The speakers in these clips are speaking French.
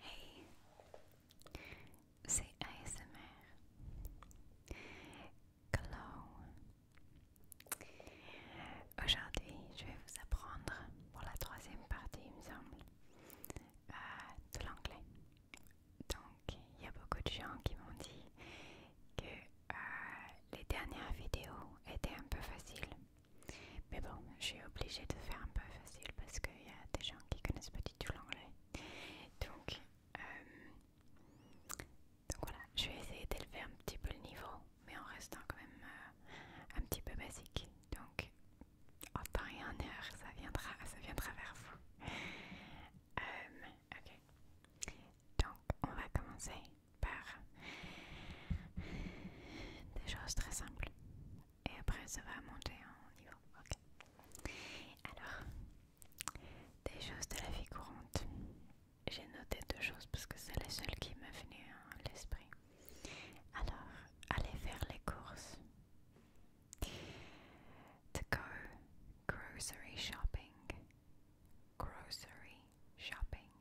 Hey, c'est ASMR. Hello. Aujourd'hui, je vais vous apprendre pour la troisième partie, il me semble, euh, de l'anglais. Donc, il y a beaucoup de gens qui m'ont dit que euh, les dernières vidéos étaient un peu faciles. Mais bon, je suis obligée de faire un peu facile parce qu'il y a des gens qui connaissent pas du tout l'anglais. Donc, euh, voilà, je vais essayer d'élever un petit peu le niveau, mais en restant quand même euh, un petit peu basique. Donc, en temps et en heure, ça viendra, ça viendra vers vous. Euh, donc, on va commencer par des choses très simples et après ça va monter en niveau. Ok. Alors, des choses de la vie courante. J'ai noté deux choses parce que c'est la seule qui m'a venu à l'esprit. Alors, aller faire les courses. To go grocery shopping. Grocery shopping.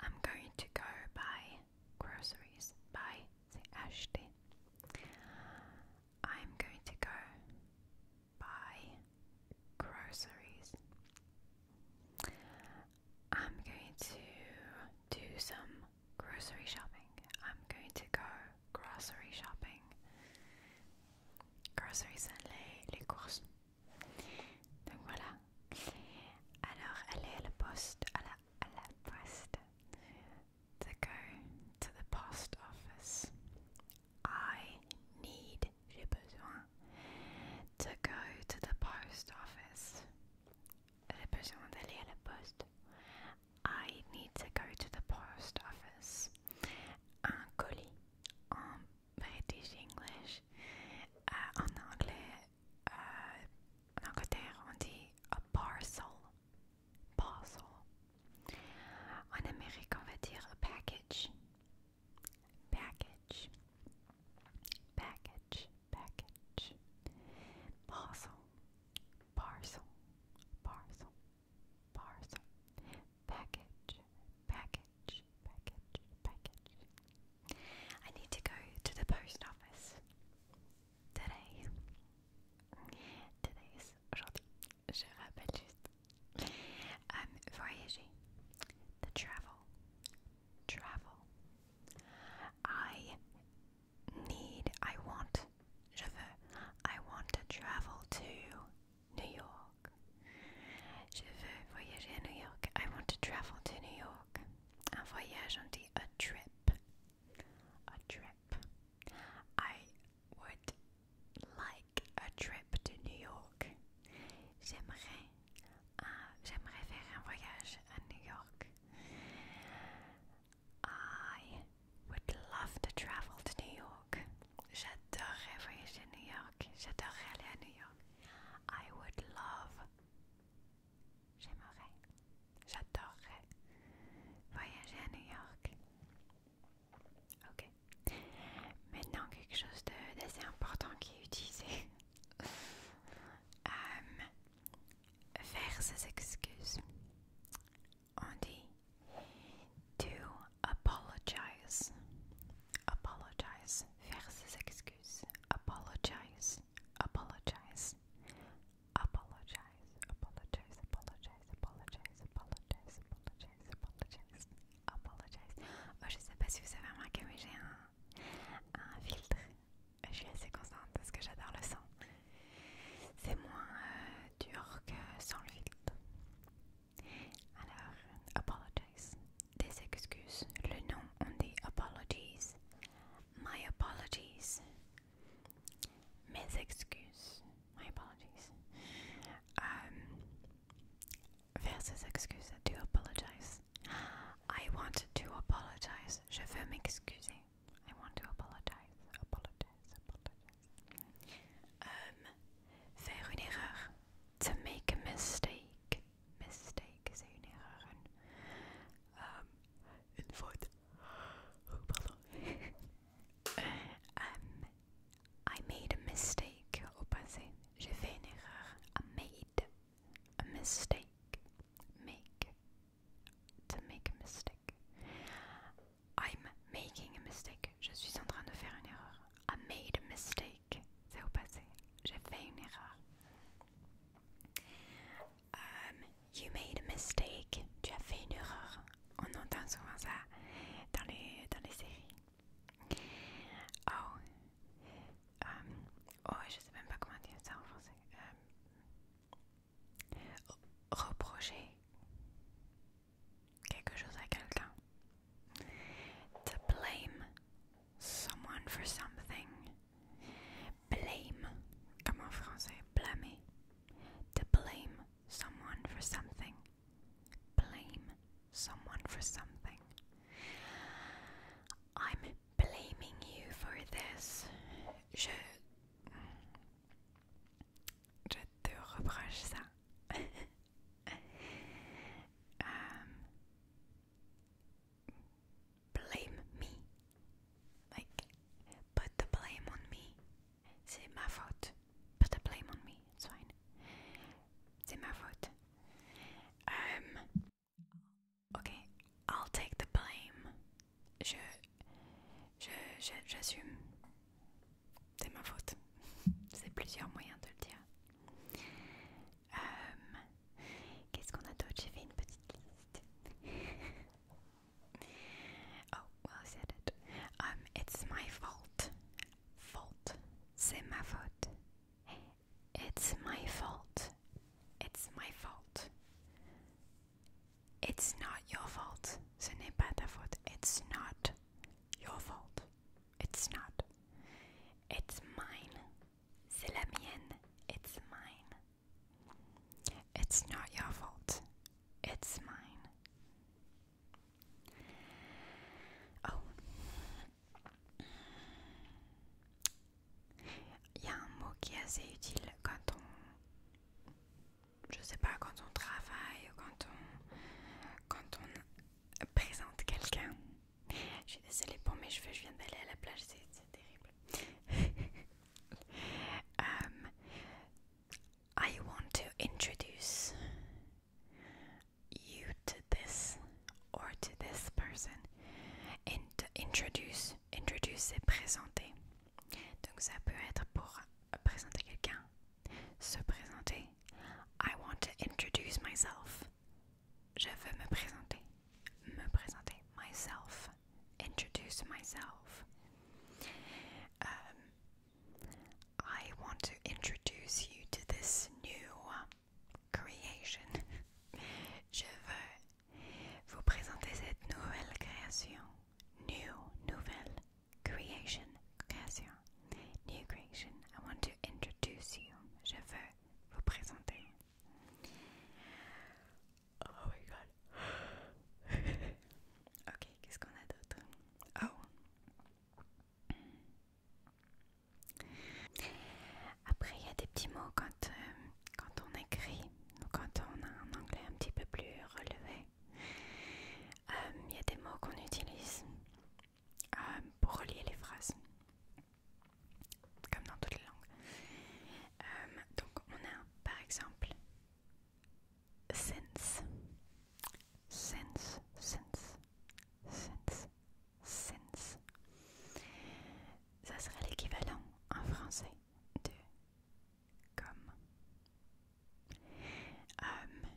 I'm going to go buy groceries. Buy say Ashton. I'm going to go buy groceries. I'm going to do some grocery shopping. I'm going to go grocery shopping. Groceries, sont les, les courses. Donc voilà. Alors, aller à poste, à la Budapest to go to the post office. I need j'ai besoin to go to the post office. J'ai besoin d'aller à la poste. I need to go to the post office. Un colis en British English, uh, en anglais Euh, en Angleterre, on dit a parcel. Parcel. En Amérique, on va dire package. Package. Package. Package. Parcel. Parcel. Parcel. Parcel. Package. Package. Package. Package. I need to go to the post office today. Today Je rappelle voyager. The travel. Travel. I need, I want, je veux, I want to travel to New York. Je veux voyager New York. I want to travel to New York. A voyage, on dit a trip. A trip. I would like a trip to New York. J'aimerais uh, j'aimerais faire un voyage à New York. I would love to travel to New York. J'adorerais voyager à New York. J'adorerais aller à New York. I would love J'aimerais, j'adorerais voyager à New York. Ok. Maintenant, quelque chose d'assez important qui est utilisé. Euh, faire ses excuses. On dit to apologize. Apologize. Faire ses excuses excuse. Apologize. Apologize. Apologize. Apologize. Apologize. Apologize. Apologize. Apologize. Apologize. Apologize. Oh, je sais pas si vous avez remarqué, mais j'ai un, filtre. Je suis assez constante parce que j'adore le son. C'est moins dur que sans le filtre. Alors, apologize. Des excuses. Le nom, on dit apologies. My apologies. Mes excuses. My apologies. Um, excuse. Do apologize. I want to apologize. Je veux m'excuser. I want to apologize. Apologize. Apologize. Um, faire To make a mistake mistake zenuwen. Um, ehm, een woord. Oh, pardon. Eh, ehm, I made a mistake au passé. J'ai fait une erreur. I made a mistake. Make. To make a mistake. I'm making a mistake. Je suis en train de faire une erreur. I made a mistake. C'est au passé. J'ai fait une erreur. Um, you made a mistake. Tu as fait une erreur. On entend souvent ça dans les, dans les séries. Oh. Um, oh, je sais même pas comment dire ça en français. Um, reprocher quelque chose à quelqu'un. To blame someone for something. Blame, comme en français, blâmer. To blame someone for something. Blame someone for something. I'm blaming you for this. Je. Je te reproche ça. um, blame me. Like, put the blame on me. C'est ma faute. Put the blame on me. It's fine. C'est ma faute. Um, okay, I'll take the blame. Je, je, je, j'assume. C'est ma faute. C'est plusieurs moyens de le dire. Euh, qu'est-ce qu'on a d'autre J'ai fait une petite liste. oh, well, I said it. Um, it's my fault. Fault. C'est ma faute. It's my fault. It's my fault. It's not your fault. Ce n'est pas ta faute. It's not your fault. It's not. It's mine. C'est la mienne. It's mine. It's not your fault. It's mine. Oh. Il y a un mot qui est assez utile quand on. Je sais pas, quand on travaille, quand on. Quand on présente quelqu'un. Je suis pour mes cheveux, je viens d'aller à la plage, c'est terrible. Um, I want to introduce you to this or to this person. introduce, introduce c'est présenter. Donc ça peut être pour présenter quelqu'un, se présenter. I want to introduce myself. Je veux me présenter. Me présenter. Myself. Introduce myself. Um, I want to introduce you to this new um, creation. Je veux vous présenter cette nouvelle création. New, nouvelle creation. Création. New creation. I want to introduce you. Je veux vous présenter. Oh my god. ok, qu'est-ce qu'on a d'autre oh. Après, il y a des petits mots quand, euh, quand on écrit, quand on a un anglais un petit peu plus relevé. Euh, il y a des mots qu'on utilise euh, pour relier les phrases, comme dans toutes les langues. Euh, donc on a par exemple since, since, since, since, since. Ça serait l'équivalent en français de comme. Euh,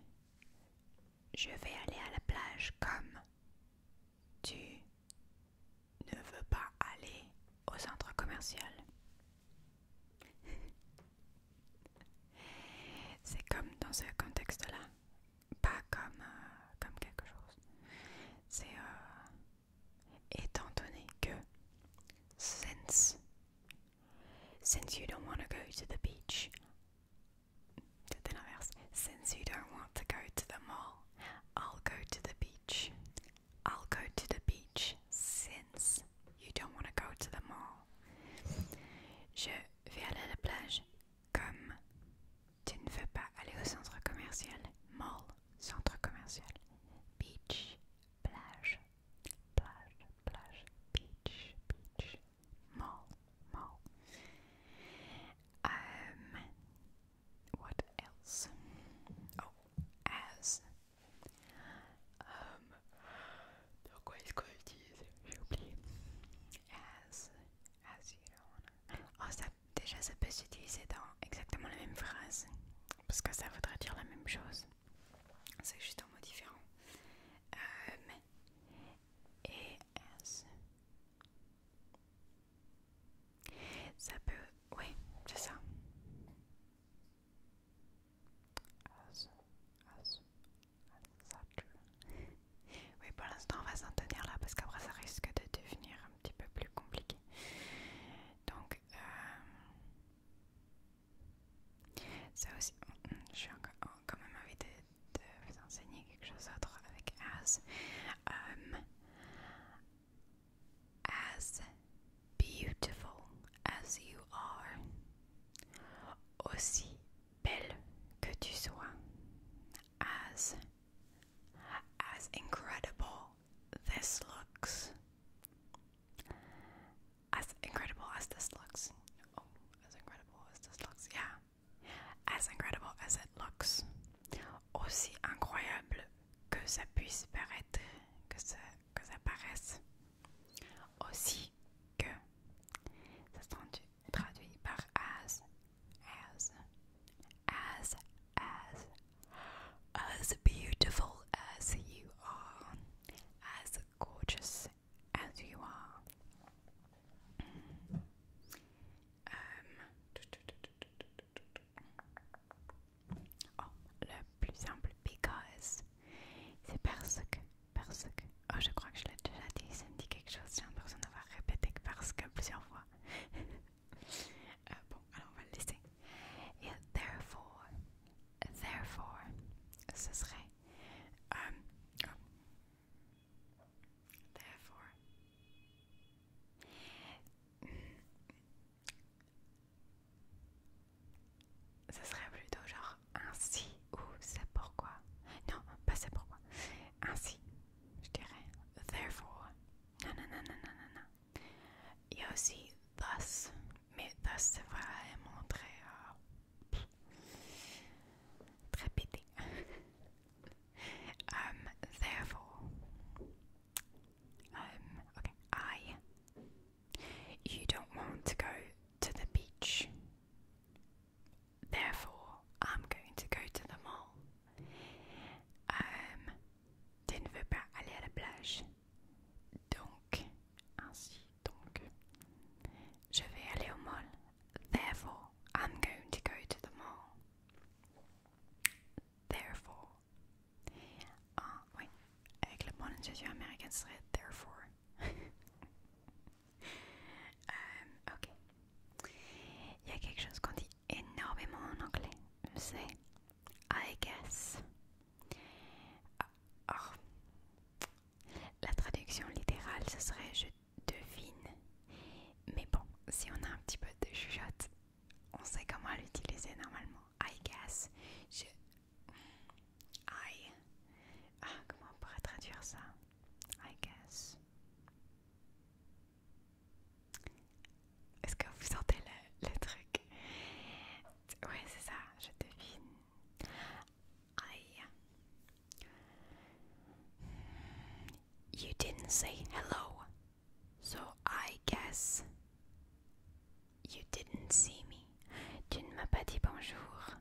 je vais aller à la plage comme tu ne veux pas aller au centre commercial. C'est comme dans ce contexte-là, pas comme, euh, comme quelque chose. C'est euh, étant donné que since since you don't want to go to the beach, Since you don't want to go to the mall, I'll go to the beach. I'll go to the beach since you don't want to go to the mall. Je vais aller à la plage comme tu ne veux pas aller au centre commercial. Mall, centre commercial. Beach, plage, plage, plage, beach, beach mall, mall. Um, what else? Oh, as. Um, quoi est-ce qu'on utilise J'ai oublié. As, as you don't Oh, ça, déjà ça peut s'utiliser dans exactement la même phrase. Parce que ça voudrait dire la même chose. C'est juste un mot différent. Um, et as. Ça peut... Oui, c'est ça. oui, pour l'instant, on va s'en tenir là parce qu'après, ça risque de devenir un petit peu plus compliqué. Donc, euh, ça aussi, oh, je suis oh, quand même invitée Um, as beautiful as you are. Aussi belle que tu sois. As. As incredible this looks. As incredible as this looks. Oh, as incredible as this looks, yeah. As incredible as it looks, aussi incroyable que ça puisse paraître, que ça, que ça paraisse, aussi que, ça traduit par as, as, as, as, as beautiful as you are, as gorgeous as you are, Euh, oh, le plus simple, because. C'est parce que, parce que. Oh, je crois que je l'ai déjà dit, ça me dit quelque chose. J'ai l'impression d'avoir répété que parce que plusieurs fois. Euh, bon, alors on va le laisser. therefore, therefore, ce serait. Euh, Therefore, ce serait plutôt genre ainsi ou c'est pourquoi. Non, pas c'est pourquoi. Ainsi, je dirais. Therefore. Non, non, non, non, non, non, non. Il y a aussi thus, mais thus c'est vraiment très. Euh, très pété. Um, therefore, um, okay, I. You don't want to go to the beach. Therefore, I'm going to go to the mall. Um, tu ne veux pas aller à la plage. Donc, ainsi, donc, je vais aller au mall. Therefore, I'm going to go to the mall. Therefore. Ah, oui. Avec le bonne intuition américaine, ce serait therefore. Euh, ok. Il y a quelque chose qu'on dit énormément en anglais. C'est I guess. Ah, la traduction littérale, ce serait je devine. Mais bon, si on a un petit peu de chuchote, on sait comment l'utiliser normalement. I guess. Je. I. Ah, comment on pourrait traduire ça I guess. Est-ce que vous sentez le, truc Oui, c'est ça, je devine. You didn't say hello, so I guess you didn't see me. Tu ne m'as pas dit bonjour.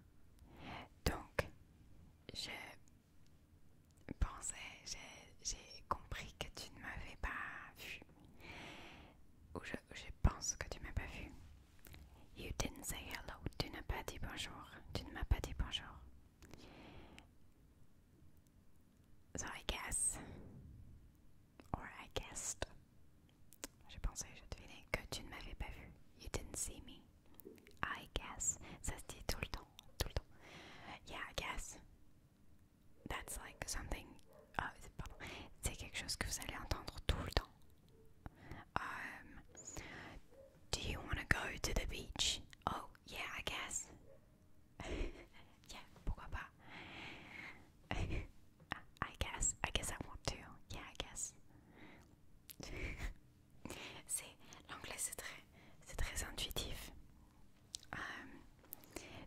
Donc, je pensais, j'ai compris que tu ne m'avais pas vu. Ou je, je pense que tu m'as pas vu. You didn't say hello. Tu n'as pas dit bonjour. Tu ne m'as pas dit bonjour. So I guess, or I guessed, J'ai pensé, j'ai deviné que tu ne m'avais pas vu. You didn't see me. I guess. Ça se dit tout le temps, tout le temps. Yeah, I guess. That's like something. Oh, pardon. C'est quelque chose que vous allez entendre tout le temps. Um, do you want to go to the beach? Oh, yeah, I guess. yeah, pourquoi pas? I guess. I guess I want to. Yeah, I guess. c'est l'anglais, c'est très, c'est très intuitif. Um,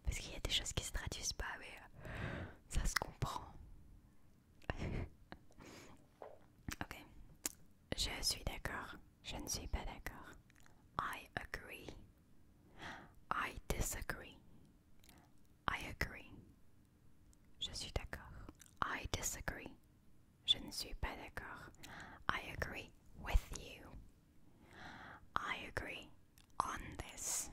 parce qu'il y a des choses qui se traduisent pas, mais ça se comprend. ok. Je suis d'accord. Je ne suis pas d'accord. I agree. I disagree. I agree. Je suis d'accord. I disagree. Je ne suis pas d'accord. I agree with you. I agree on this.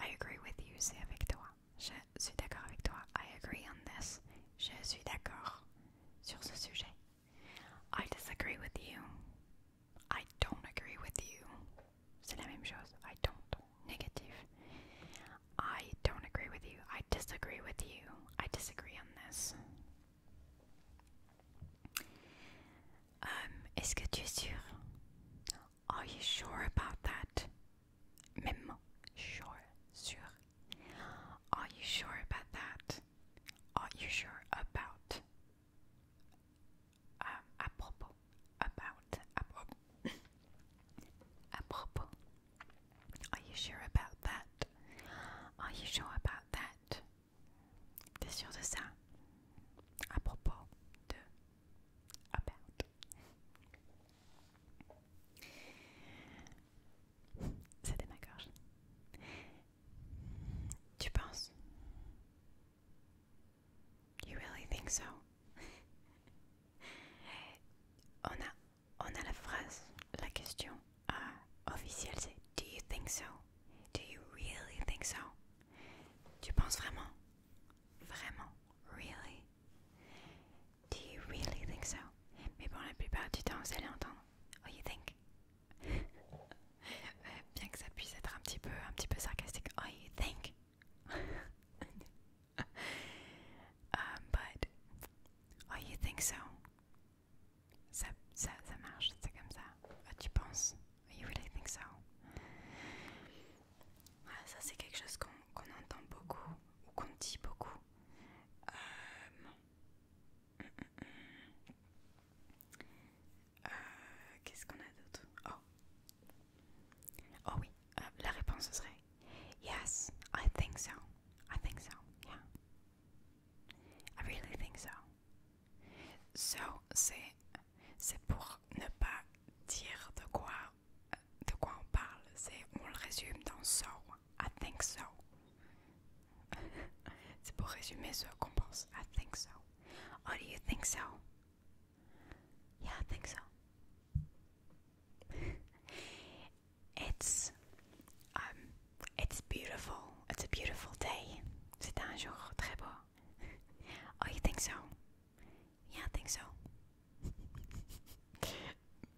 I agree with you, c'est avec toi. Je suis d'accord avec toi. I agree on this. Je suis d'accord sur ce sujet. I disagree with you. I don't agree with you. C'est la même chose. I don't. Négatif. I don't agree with you. I disagree with you. I disagree on this. Um, Est-ce que tu es sûr? Are you sure about that? Are you sure about that? Are you sure about? à um, propos, about, à propos. à propos. Are you sure about that? Are you sure about that? T'es sûr de ça? À propos de, about. C'était ma gorge. Tu penses You really think so On a, on a la phrase, la question euh, officielle c'est Do you think so Do you really think so Tu penses vraiment Vraiment Really Do you really think so? Mais bon, la plupart du temps, vous allez entendre. Oh, you think? Bien que ça puisse être un petit peu, un petit peu sarcastique. Oh, you think? Um, but, oh, you think so? Ça, ça, ça marche, c'est comme ça. Oh, tu penses? Oh, you really think so? Ah, ça c'est quelque chose qu'on entend beaucoup ou qu'on dit beaucoup. Euh, hum, hum, hum. Euh, qu'est-ce qu'on a d'autre Oh, oh oui, euh, la réponse serait Yes, I think so. I think so. Yeah, I really think so. So c'est c'est pour ne pas dire de quoi de quoi on parle, c'est on le résume dans so, I think so. c'est pour résumer ce qu'on pense, I think so. Oh, do you think so? Yeah, I think so. it's um it's beautiful. It's a beautiful day. C'est un jour très beau. oh, you think so? Yeah, I think so.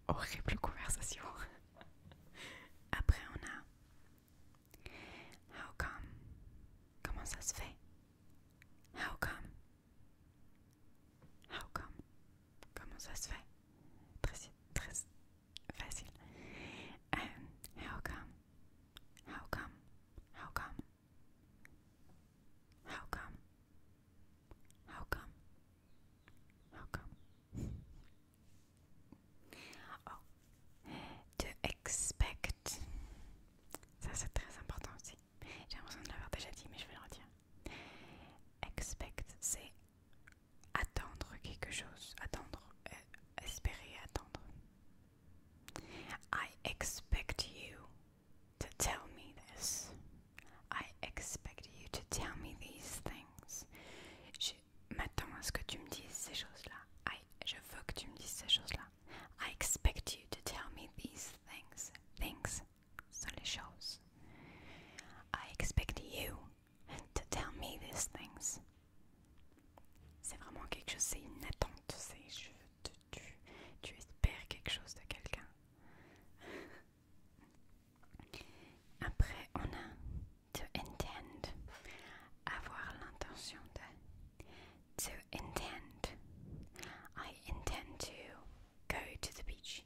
Horrible conversation. Après, on a How come? Comment ça se fait? How come? How come? Comment ça se fait? Très, très facile. Um, how come? How come? How come? How come? How come? How come? oh. To expect. Ça c'est très important aussi. J'ai l'impression de l'avoir déjà dit, mais je vais le redire. Expect, c'est attendre quelque chose. Attendre. Euh, espérer attendre. I expect you to tell me this. I expect you to tell me these things. Je que tu me dises ces choses-là. I, je veux que tu me dises ces choses-là. I expect you to tell me these things. Things sont les choses. I expect you to tell me these things. C'est vraiment quelque chose, c'est une attente, Je, tu, tu, tu espères quelque chose de quelqu'un. Après, on a to intend, avoir l'intention de. To intend, I intend to go to the beach.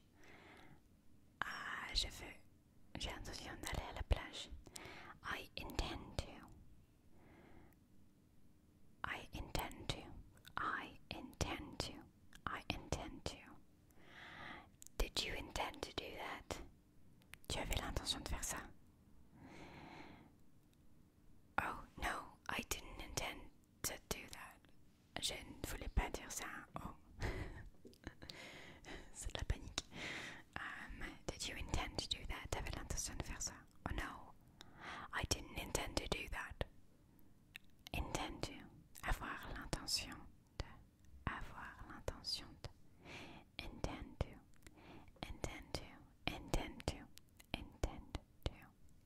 Ah, je veux, j'ai l'intention d'aller à la plage. I intend to. I intend to. I intend to. I intend to. Did you intend to do that? Tu avais l'intention de faire ça? Oh no, I didn't intend to do that. Je ne voulais pas dire ça. Oh. C'est la panique. Um, did you intend to do that? Tu avais l'intention de faire ça? Oh, no, I didn't intend to do that. intendu, avoir l'intention de, avoir l'intention de, intendu, intendu, intendu, intendu, intendu,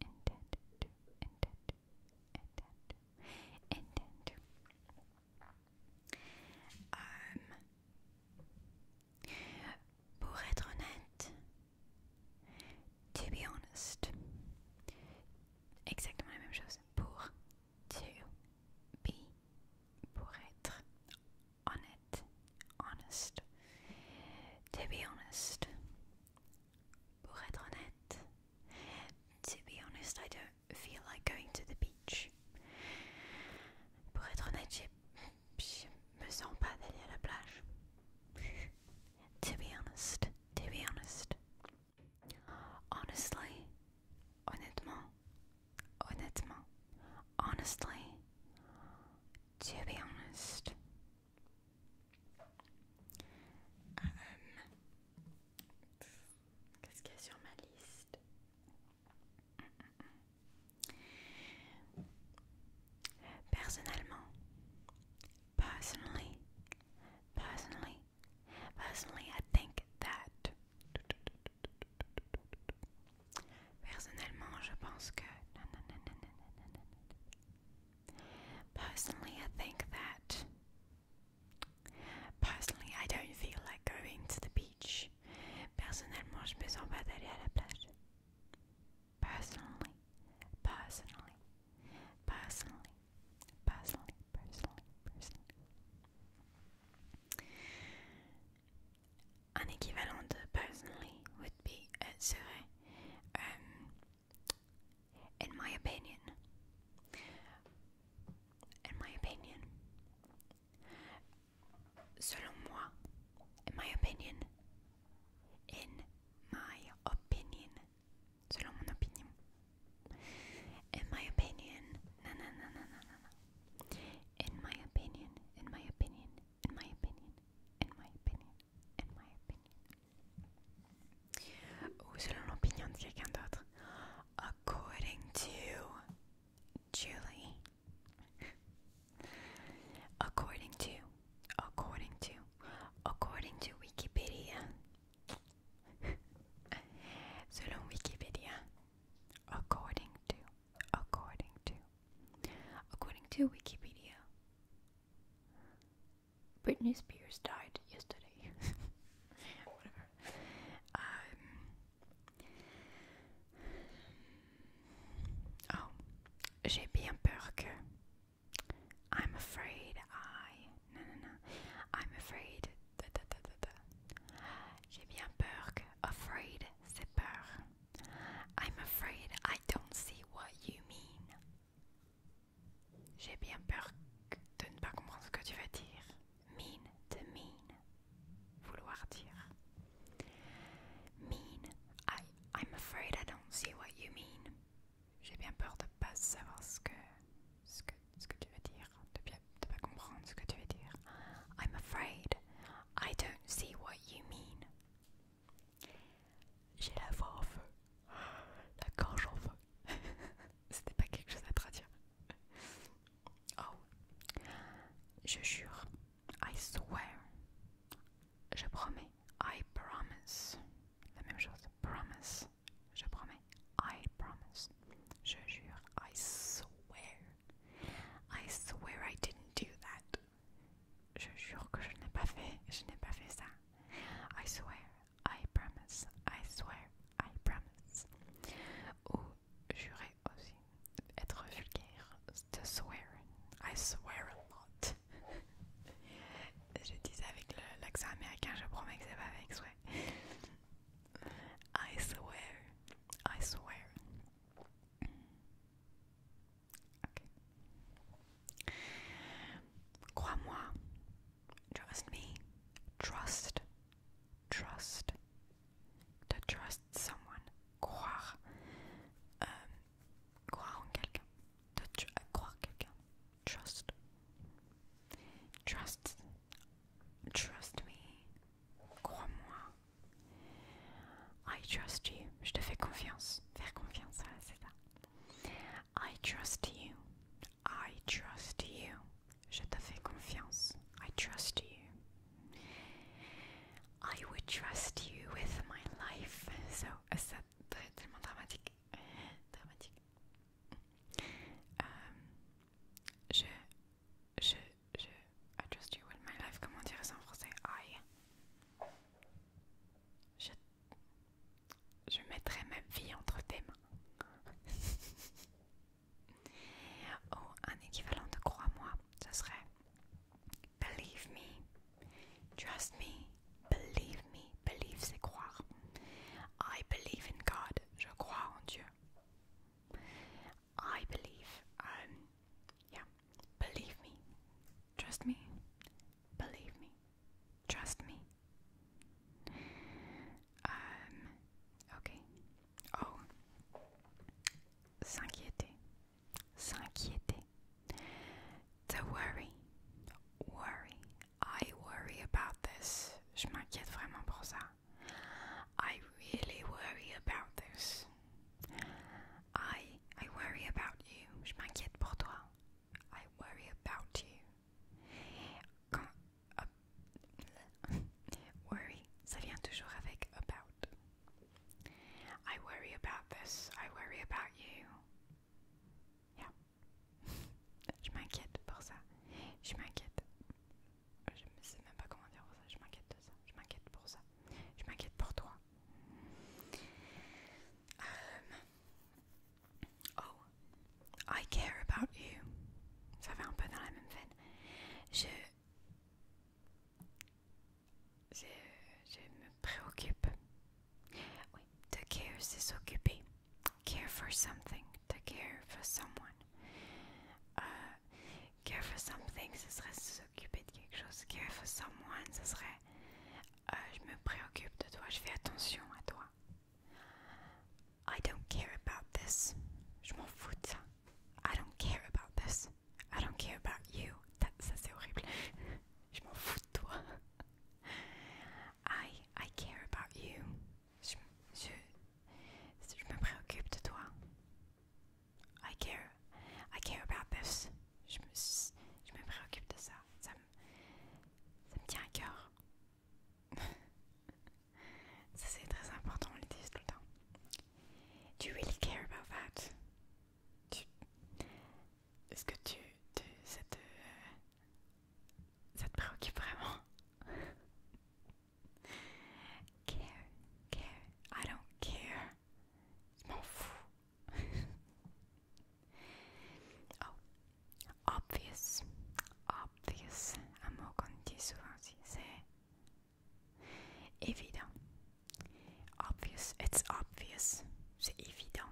intendu, intendu, intendu. Um, pour être honnête, To be honest. Exactement la même chose. Pour to be. Pour être honnête. Honest. To be honest. Pour être honnête. To be honest, I don't feel like going to the beach. Pour être honnête, je me sens pas d'aller à la plage. To be honest, to be honest. Honestly, honnêtement, honnêtement, honestly, to be honest. Um, Qu'est-ce qu'il y a Personally, personally, personally, I think that. Personnellement, je pense que. Personally, I think that. Personally, I don't feel like going to the beach. Personnellement, je me sens pas d'aller à la personally, personally, personally, personally, personally, personally. Un équivalent de personally would be uh, serait, um, in my opinion, in my opinion, selon moi, in my opinion in my opinion, selon mon opinion, in my opinion, na na na na na na, in my opinion, in my opinion, in my opinion, in my opinion, in my opinion, ou selon l'opinion de quelqu'un d'autre, according to Julie. According to according to, according to Wikipedia. Selon Wikipedia. According to, according to, according to Wikipedia. Britney Spears died yesterday. Whatever. Um, oh, j'ai bien peur que I'm afraid I. Non, non, non. I'm afraid. J'ai bien peur que. Afraid, c'est peur. I'm afraid I don't see what you mean. J'ai bien peur de ne pas comprendre ce que tu veux dire. Mean, de mean. Vouloir dire. Mean, I I'm afraid I don't see what you mean. J'ai bien peur de pas savoir ce que, ce que, ce que tu veux dire, de bien, de pas comprendre ce que tu veux dire. I'm afraid I don't see what you mean. J'ai la voix en feu, la gorge en feu. C'était pas quelque chose à traduire. Oh, je jure. I swear. Je promets. I promise. La même chose. Promise. Je promets. I promise. Je jure. I swear. I swear I didn't do that. Je jure que je n'ai pas fait. Je n'ai pas fait ça. I swear. I promise. I swear. I promise. Ou jurer aussi. Être vulgaire. To swear. I swear a lot je dis avec l'accent américain, je promets que c'est pas avec souhait. I swear, I swear. OK. Crois-moi, trust me, trust, trust, to trust someone, croire. Euh, croire en quelqu'un, croire croire quelqu'un, trust, trust, trust me, crois-moi, I trust you, je te fais confiance, faire confiance, c'est ça, I trust you, I trust you, je te fais confiance, I trust you, I would trust you with my life. So, euh, tellement dramatique. Dramatique. Euh, je, je, je, I trust you with my life. Comment dire ça en français? I. Je, je mettrai ma vie entre tes mains. oh, un équivalent de crois-moi, ce serait Believe me, trust me, believe me. Believe, c'est croire. I believe in God. Je crois en Dieu. I believe. Um, yeah. Believe me. Trust me. Believe me. Trust me. Um, ok. Oh. S'inquiéter. S'inquiéter. To worry. Worry. I worry about this. Je m'inquiète vraiment pour ça. I really worry about this. I, I worry about you. Je m'inquiète pour toi. I worry about you. Euh, worry, ça vient toujours avec about. I worry about this, I worry about you. Yeah. je m'inquiète pour ça. Je m'inquiète. Je ne sais même pas comment dire pour ça. Je m'inquiète de ça. Je m'inquiète pour ça. Je m'inquiète pour toi. Um, oh, I care about you. Ça va un peu dans la même je, je me préoccupe. Oui, to care, c'est s'occuper. Care for something, to care for someone. Euh, care for something, ce serait s'occuper de quelque chose. Care for someone, ce serait euh, je me préoccupe de toi, je fais attention à toi. I don't care about this. Je m'en fous de ça. I don't care about this. I don't care about you. Ça c'est horrible. Je m'en fous de toi. I, I care about you. Je, je, je me préoccupe de toi. I care. I care about this. Je me, je me préoccupe de ça. Ça me, ça me tient à cœur. ça c'est très important, on le dit tout le temps. Do you really care about that? Est-ce que tu, ça, te, ça te préoccupe vraiment Care, care, I don't care. Je m'en fous. oh, obvious, obvious. Un mot qu'on dit souvent aussi, c'est Évident. Obvious. It's obvious. C'est évident.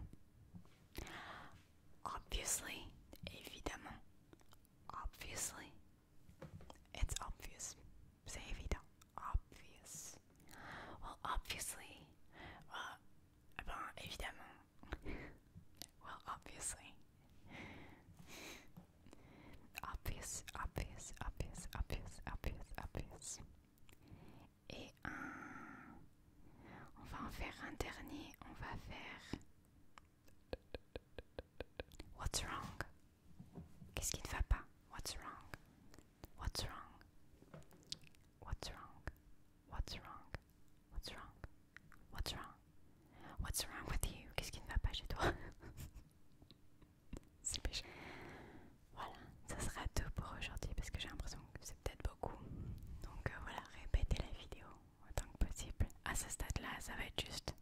Obviously. Évidemment. Obviously. It's obvious. C'est évident. Obvious. Well, obviously. Well, bon, évidemment. well, obviously. Obvious, obvious, obvious, obvious, obvious, obvious. et un... On va en faire un dernier, on va faire... What's wrong Qu'est-ce qui ne va pas What's wrong What's wrong What's wrong What's wrong What's wrong What's wrong What's wrong with you Qu'est-ce qui ne va pas chez toi c'est Voilà, ça sera tout pour aujourd'hui parce que j'ai l'impression que c'est peut-être beaucoup. Donc euh, voilà, répétez la vidéo autant que possible. À ce stade-là, ça va être juste.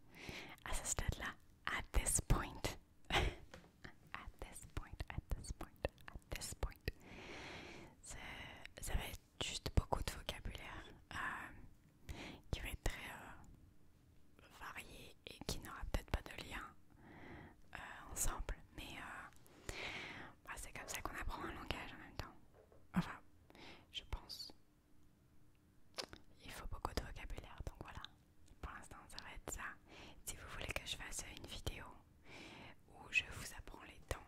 À ce stade-là, at this point. at this point, at this point, at this point. Ça, va être juste beaucoup de vocabulaire euh, qui va être très... Euh, varié et qui n'aura peut-être pas de lien euh, ensemble, mais euh, bah, c'est comme ça qu'on apprend un langage en même temps. Enfin, je pense. Il faut beaucoup de vocabulaire, donc voilà. Pour l'instant, ça va être ça. Si vous voulez que je fasse une vidéo où je vous apprends les temps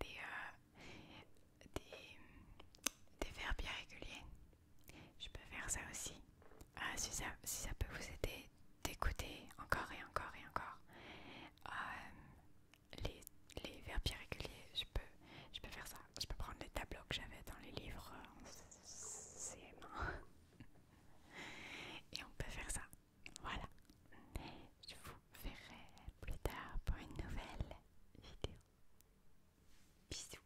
des, euh, des, des verbes irréguliers, je peux faire ça aussi. Ah, si, ça, peut vous aider d'écouter encore et encore et encore euh, les, les verbes irréguliers, je peux, je peux faire ça. Je peux prendre les tableaux que j'avais dans les livres en euh, cm et on peut faire ça. Voilà. Je vous verrai plus tard pour une nouvelle vidéo. Bisous.